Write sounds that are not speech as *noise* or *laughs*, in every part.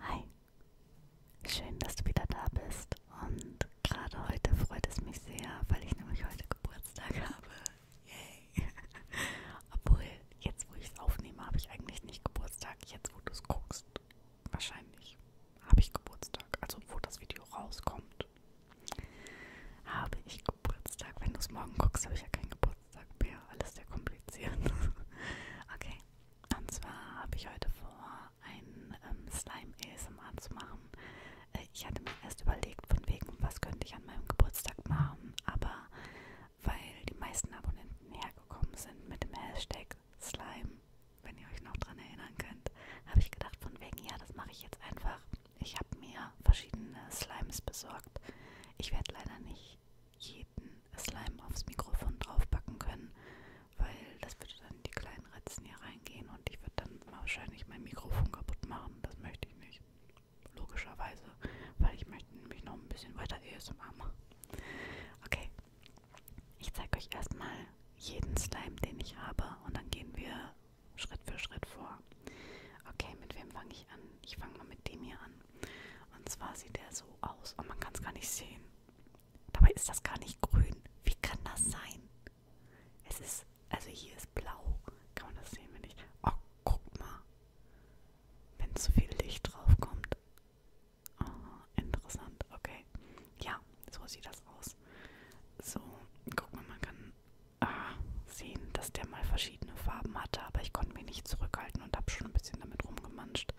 Hi, schön, dass du wieder da bist. Und gerade heute freut es mich sehr, weil ich nämlich heute Geburtstag habe. Yay! *laughs* Obwohl, jetzt wo ich es aufnehme, habe ich eigentlich nicht Geburtstag. Jetzt wo du es guckst, wahrscheinlich habe ich Geburtstag. Also wo das Video rauskommt, habe ich Geburtstag? Wenn du es morgen guckst, habe ich ja keinen Geburtstag mehr. Alles sehr kompliziert. *laughs* okay. Und zwar habe ich heute vor, einen ähm, Slime ASMR zu machen. Äh, ich hatte mir erst überlegt, von wegen, was könnte ich an meinem Geburtstag machen. Aber weil die meisten Abonnenten hergekommen sind mit dem Hashtag Slime, wenn ihr euch noch dran erinnern könnt, habe ich gedacht, von wegen, ja, das mache ich jetzt einfach einfach. Ich habe mir verschiedene Slimes besorgt. Ich werde leider nicht jeden Slime aufs Mikrofon draufpacken können, weil das würde dann in die kleinen Ritzen hier reingehen und ich würde dann wahrscheinlich mein Mikrofon kaputt machen. Das möchte ich nicht. Logischerweise, weil ich möchte nämlich noch ein bisschen weiter ASMR machen. Okay, ich zeige euch erstmal jeden Slime, den ich habe und dann gehen wir Schritt für Schritt vor. Okay, mit wem fange ich an? Ich fange mal mit dem hier an. Und zwar sieht der so aus und oh, man kann es gar nicht sehen. Dabei ist das gar nicht grün. Wie kann das sein? Es ist, also hier ist blau. Kann man das sehen, wenn ich... Oh, guck mal. Wenn zu viel Licht drauf kommt. Oh, interessant, okay. Ja, so sieht das aus. So, guck mal, man kann ah, sehen, dass der mal verschiedene Farben hatte, aber ich konnte mich nicht zurückhalten und habe schon ein bisschen damit rumgemanscht.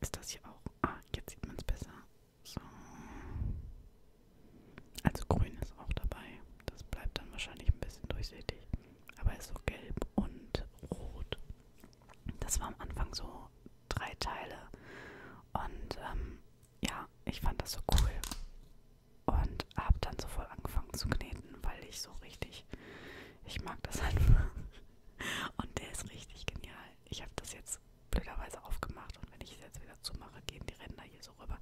Ist das hier auch? Ah, jetzt sieht man es besser. So. Also grün ist auch dabei. Das bleibt dann wahrscheinlich ein bisschen durchsichtig. Aber ist so gelb und rot. Das war am Anfang so drei Teile. Und ähm, ja, ich fand das so cool und habe dann so voll angefangen zu kneten, weil ich so richtig, ich mag das einfach. *laughs* Und der ist richtig genial. Ich habe das jetzt blöderweise aufgemacht und wenn ich es jetzt wieder zumache, gehen die Ränder hier so rüber.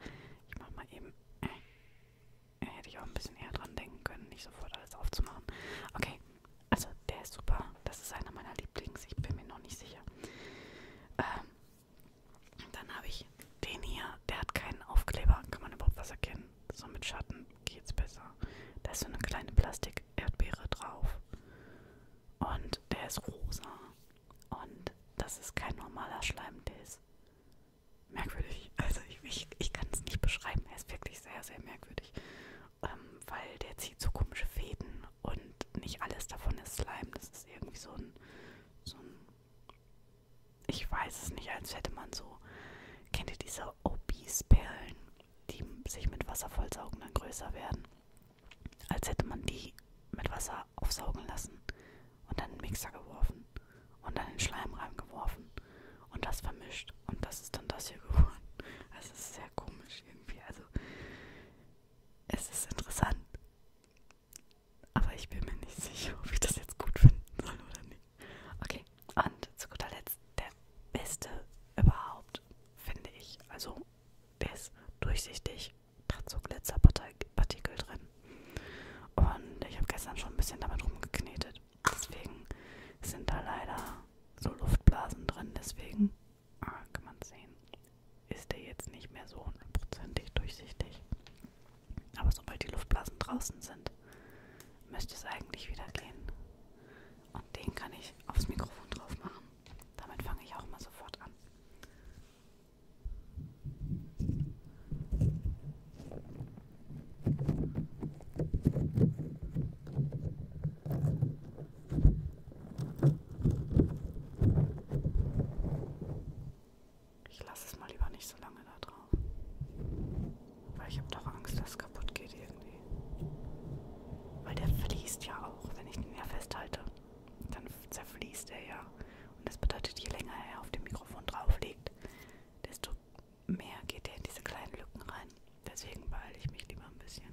Ich mache mal eben, äh, hätte ich auch ein bisschen eher dran denken können, nicht sofort alles aufzumachen. Okay, also der ist super. Das ist einer meiner Lieblings. Ich bin mir noch nicht sicher. Ähm, dann habe ich den hier, der hat keinen Aufkleber. Kann man überhaupt was erkennen? So mit Schatten geht's besser. Da ist so eine kleine Plastik-Erdbeere drauf. Und der ist rosa. Und das ist kein normaler Schleim, der ist merkwürdig. Also ich, ich, ich kann es nicht beschreiben. Er ist wirklich sehr, sehr merkwürdig. Ähm, weil der zieht so komische Fäden und nicht alles davon ist Slime. Das ist irgendwie so ein, so ein. Ich weiß es nicht, als hätte man so. Kennt ihr diese Obese-Perlen, die sich mit Wasser vollsaugen, dann größer werden? Als hätte man die mit Wasser aufsaugen lassen und dann in den Mixer geworfen und dann in den Schleim reingeworfen und das vermischt. Und das ist dann das hier geworden. *laughs* Also, es ist sehr komisch irgendwie. Also, es ist interessant, aber ich bin mir nicht sicher, ob ich das jetzt gut finden soll oder nicht. Okay, und zu guter Letzt der beste überhaupt, finde ich. Also, der ist durchsichtig, hat so Glitzerpartikel drin. Und ich habe gestern schon ein bisschen damit rumgeknetet. Deswegen sind da leider so Luftblasen drin. Deswegen ah, kann man sehen, ist der jetzt nicht mehr so hundertprozentig durchsichtig. Aber sobald die Luftblasen draußen sind, müsste es eigentlich wieder gehen. Und den kann ich aufs Mikrofon drauf machen. Damit fange ich auch mal sofort an. Ich lasse es mal lieber nicht so lange da drauf. Weil ich habe doch Angst, dass es kaputt geht irgendwie. Weil der fließt ja auch. Wenn ich den ja festhalte, dann zerfließt er ja. Und das bedeutet, je länger er auf dem Mikrofon drauf liegt, desto mehr geht er in diese kleinen Lücken rein. Deswegen beeile ich mich lieber ein bisschen.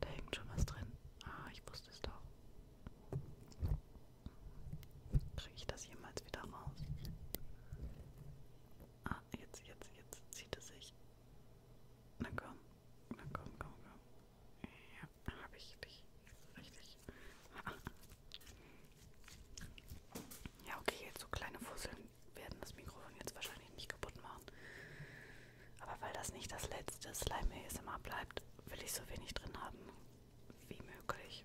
Da hängt schon was drin. Ah, ich wusste es doch. Kriege ich das jemals wieder raus? Ah, jetzt, jetzt, jetzt zieht es sich. Na komm, na komm, komm, komm. Ja, habe ich dich. Richtig. ja, okay, jetzt so kleine Fusseln werden das Mikrofon jetzt wahrscheinlich nicht kaputt machen. Aber weil das nicht das letzte Slime ASMR bleibt, will ich so wenig drin haben wie möglich.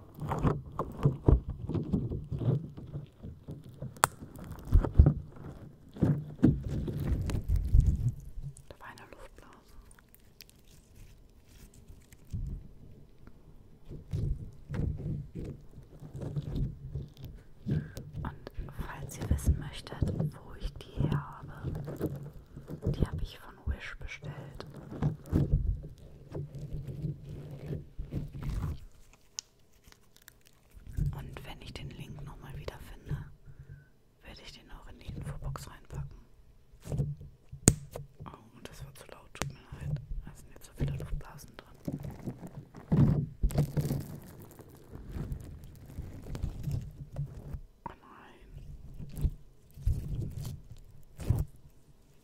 Da war eine Luftblase. Und falls ihr wissen möchtet, wo ich die her habe, die habe ich von Wish bestellt. Und wenn ich den Link nochmal wiederfinde, werde ich den auch in die Infobox reinpacken. Oh, und das war zu laut, tut mir leid. Da sind jetzt so viele Luftblasen drin. Oh nein.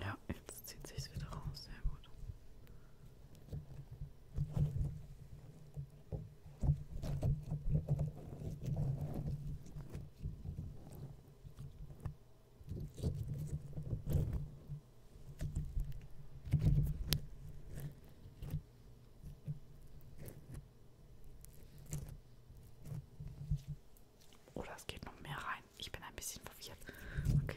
Ja, jetzt zieht sich's wieder raus, sehr gut. Oder es geht noch mehr rein. Ich bin ein bisschen verwirrt. Okay.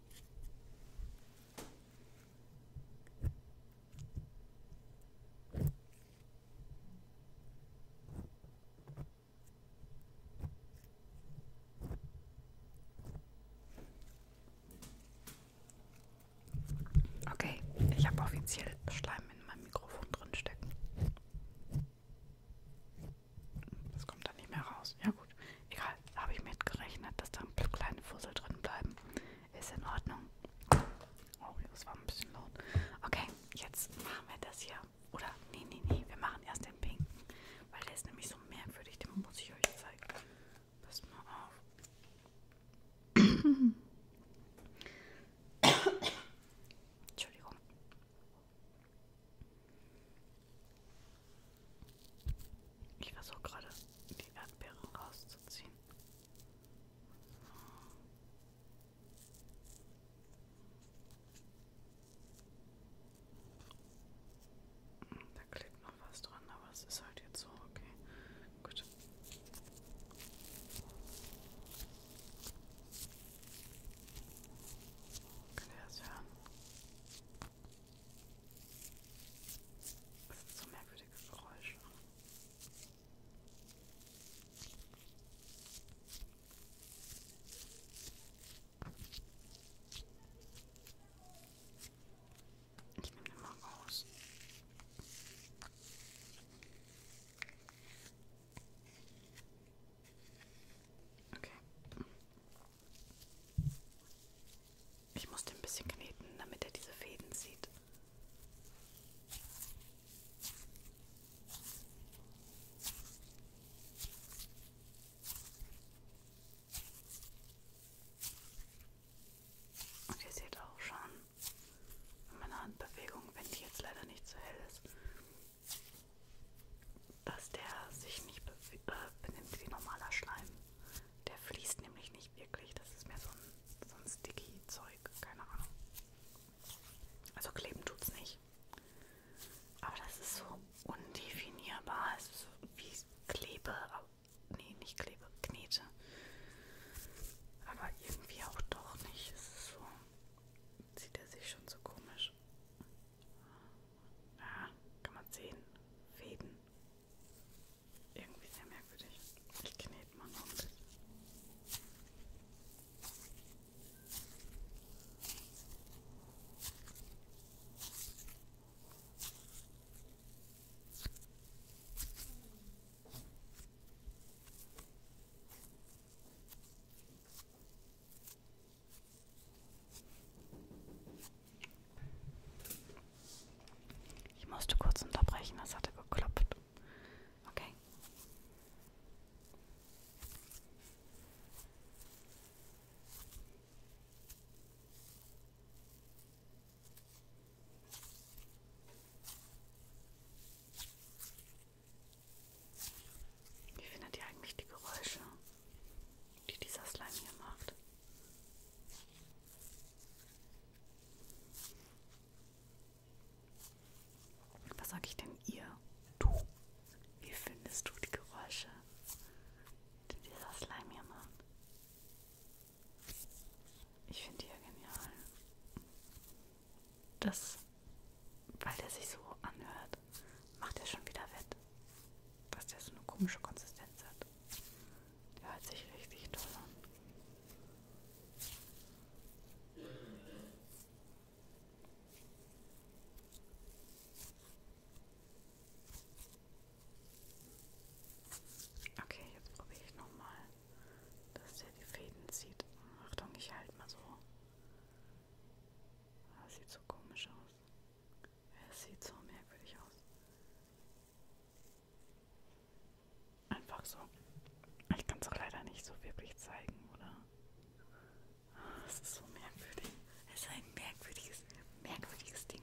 Okay, ich habe offiziell Schleim in meinem Mikrofon drin stecken. Das kommt dann nicht mehr raus. Ja gut, egal. Habe ich mitgerechnet, dass da ein paar kleine Fussel drin bleiben. Ist in Ordnung. Oh, das war ein bisschen laut. Okay, jetzt machen wir das hier. Oder, nee, nee, nee, wir machen erst den pinken. Weil der ist nämlich so merkwürdig, den muss ich euch zeigen. Passt mal auf. *coughs* Entschuldigung. Ich versuche gerade die Erdbeeren rauszuziehen. Da klebt noch was dran, aber es ist halt jetzt so, okay. Gut. Könnt ihr das hören? Das sind so merkwürdige Geräusche. Ich nehme den mal raus. Okay. Ich musste ein bisschen kneten, damit er diese Fäden sieht. Und ihr seht auch schon in meiner Handbewegung, wenn die jetzt leider nicht so hell ist, dass der sich nicht be äh, benimmt wie normaler Schleim. Der fließt nämlich nicht wirklich. Das ist mehr so ein, so ein sticky Zeug. Keine Ahnung. Also kleben tut's nicht. Aber das ist so undefinierbar. Es ist so wie Klebe. Nee, nicht Klebe. Knete. Aber irgendwie auch doch nicht. Es ist so. Zieht er sich schon so komisch. Ja, kann man sehen. Fäden. Irgendwie sehr merkwürdig. Ich knete mal noch ein bisschen. Ich musste kurz unterbrechen, das hatte geklopft. Okay. Wie findet ihr eigentlich die Geräusche? die dieser Slime hier macht. Was sag ich denn ihr? Du? Wie findest du die Geräusche, die dieser Slime hier macht? Ich finde die ja genial. Das, weil der sich so anhört macht er schon wieder wett. Dass der so eine komische Konsistenz hat. Der hört sich richtig toll an. Okay, jetzt probiere ich nochmal, dass der die Fäden zieht. Achtung, ich halte mal so. Das sieht so komisch aus. Es sieht so merkwürdig aus. Einfach so. Ich kann es auch leider nicht so wirklich zeigen, oder? Es ist so merkwürdig. Es ist ein merkwürdiges, merkwürdiges Ding.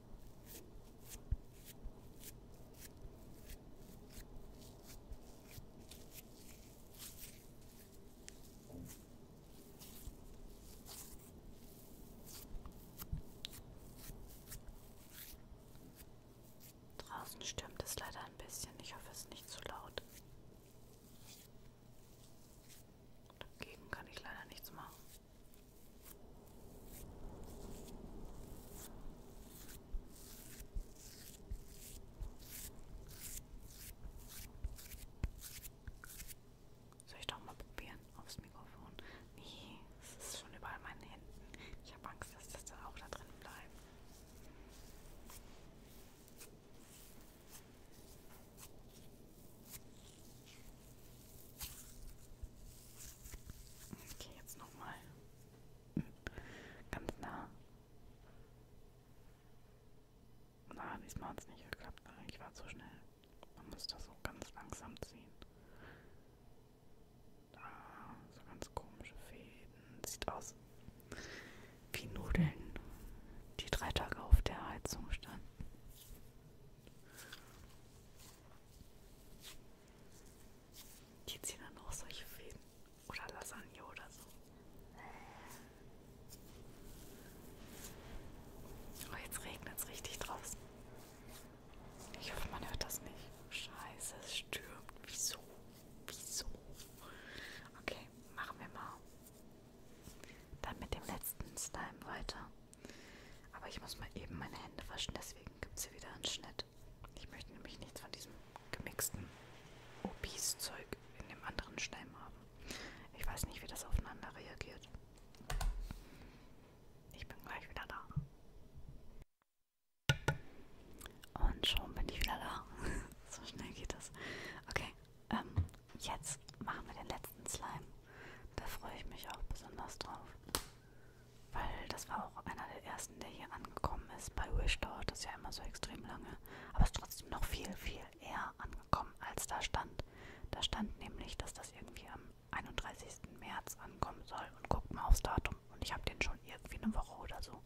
Draußen stürmt es leider ein bisschen. Ich hoffe, es ist nicht zu laut. Dagegen kann ich leider nichts machen. Soll ich doch mal probieren aufs Mikrofon? Nee, es ist schon überall meinen Händen. Ich habe Angst, dass das dann auch da drin bleibt. Okay, jetzt nochmal. Ganz nah. Na, diesmal hat es nicht geklappt. Ne? Ich war zu schnell. Man muss das so ganz langsam ziehen. Ah, so ganz komische Fäden. Sieht aus wie Nudeln, die drei Tage auf der Heizung standen. Die ziehen dann auch solche Fäden. Oder Lasagne oder so. Oh, jetzt regnet es richtig draußen. Ich hoffe, man hört das nicht. Scheiße, es stürmt. Wieso? Wieso? Okay, machen wir mal. Dann mit dem letzten Slime weiter. Aber ich muss mal eben meine Hände waschen, deswegen gibt es hier wieder einen Schnitt. Ich möchte nämlich nichts von diesem gemixten Obis-Zeug in dem anderen Schleim haben. Ich weiß nicht, wie das aufeinander reagiert. Ich bin gleich wieder da. Und schon bin ich wieder da. *laughs* so schnell geht das. Okay, ähm, jetzt machen wir den letzten Slime. Da freue ich mich auch besonders drauf. Weil das war auch einer der ersten, der hier angekommen ist. Bei Wish dauert das ja immer so extrem lange. Aber es ist trotzdem noch viel, viel eher angekommen, als da stand. Da stand nämlich, dass das irgendwie am 31. März ankommen soll. Und guckt mal aufs Datum. Und ich habe den schon irgendwie eine Woche oder so.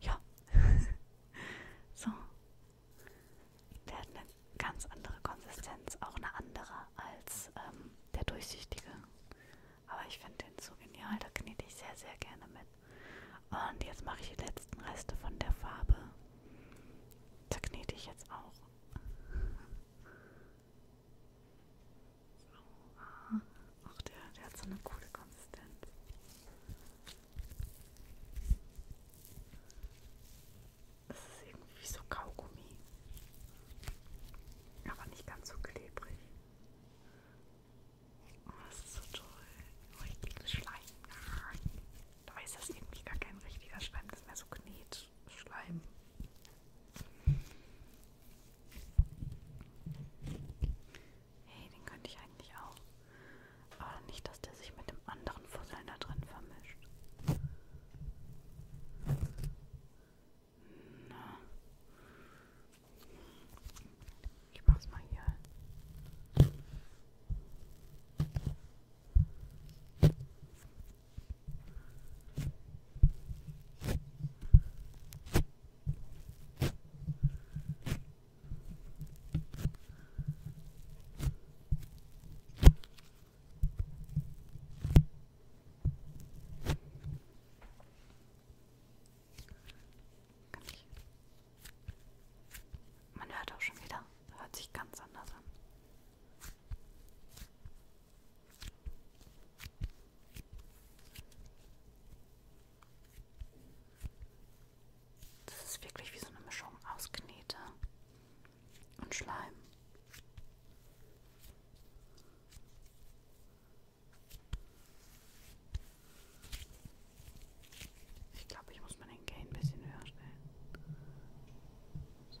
Ja. *laughs* so. Der hat eine ganz andere Konsistenz. Auch eine andere als ähm, der durchsichtige. Aber ich finde den so genial, da knete ich sehr, sehr gerne mit. Und jetzt mache ich die letzten Reste von der Farbe. Da knete ich jetzt auch. So. Ach, der, der hat so eine coole Konsistenz. Das ist irgendwie so Kaugummi. Aber nicht ganz so klebrig. Oh, das ist so toll. Richtiges oh, Schleim. Da ist das irgendwie gar kein richtiger Schleim, das ist mehr so Knetschleim. Hey, den könnte ich eigentlich auch. Aber nicht, dass der sich mit dem anderen Fusseln da drin vermischt. Ich mach's mal hier. Kann ich. Man hört auch schon wieder, hört sich ganz anders an. Das ist wirklich wie so eine Mischung aus Knete und Schleim. Ich glaube, ich muss mal den Gain ein bisschen höher stellen. So.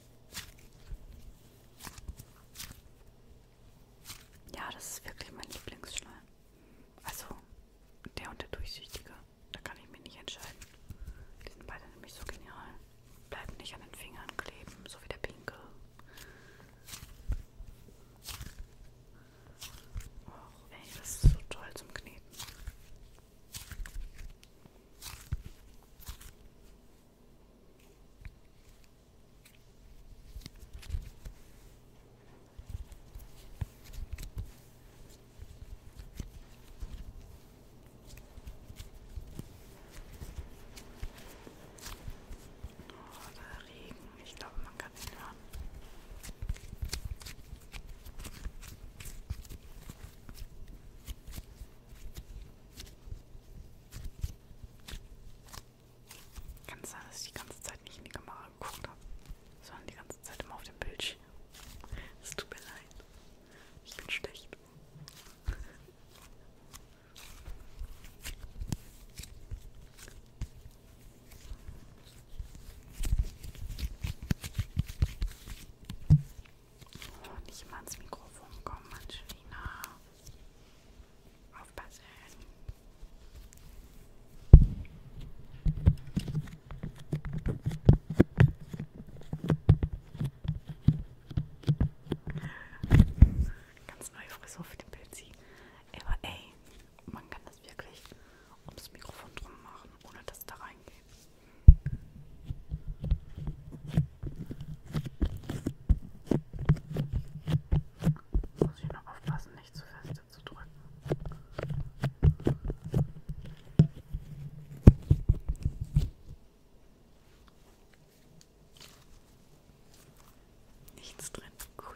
Ja, das ist wirklich mein Lieblingsschleim. Also, der und der Durchsichtige. Da kann ich mich nicht entscheiden. Die sind beide nämlich so genial. Bleiben nicht an den Fingern kleben, so wie der Pinke. Och, ey, das ist so toll zum Kneten. Oh, der Regen, ich glaube, man kann ihn hören. Kann es sein, dass ich die ganze Zeit nicht in die Kamera geguckt habe, sondern die ganze Zeit immer auf dem Bildschirm. Es tut mir leid. Ich bin schlecht. Oh, nicht mal ans Mikrofon kommen, Angelina. Aufpassen. Ganz neue Frisur für den Pilzi. Aber ey, man kann das wirklich ums Mikrofon drum machen, ohne dass da reingeht. Muss ich noch aufpassen, nicht zu feste zu drücken. Nichts drin, cool.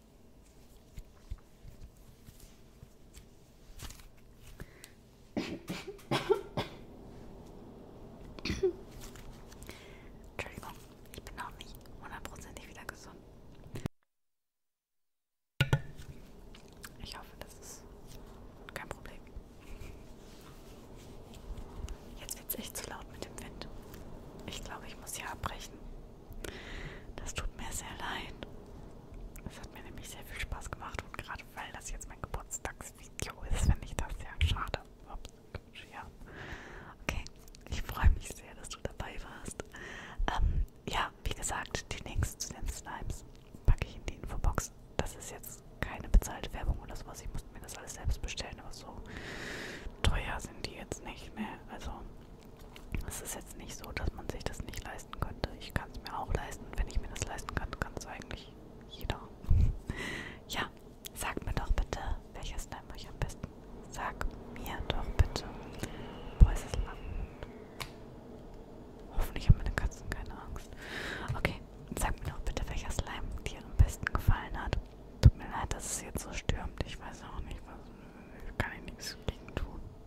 Entschuldigung, ich bin auch nicht hundertprozentig wieder gesund. Ich hoffe, das ist kein Problem. Jetzt wird es echt zu laut mit dem Wind. Ich glaube, ich muss hier abbrechen. Das tut mir sehr leid. Es hat mir nämlich sehr viel Spaß gemacht und gerade weil das jetzt mein Geburtstagsvideo ist, finde ich das sehr schade. Ups, ja. Okay, ich freue mich sehr, dass du dabei warst. Ähm, ja, wie gesagt, die Links zu den Slimes packe ich in die Infobox. Das ist jetzt keine bezahlte Werbung oder sowas. Ich musste mir das alles selbst bestellen, aber so teuer sind die jetzt nicht mehr. Ne? Also es ist jetzt nicht so, dass man sich das nicht leisten könnte. Ich kann es mir auch leisten. Wenn ich mir das leisten kann, kann es eigentlich jeder. *laughs* ja, sag mir doch bitte, welches Slime euch am besten. Sag mir doch bitte. Wo ist das Land? Hoffentlich haben meine Katzen keine Angst. Okay, sag mir doch bitte, welcher Slime dir am besten gefallen hat. Tut mir leid, dass es jetzt so stürmt. Ich weiß auch nicht, was. Kann ich nichts gegen tun.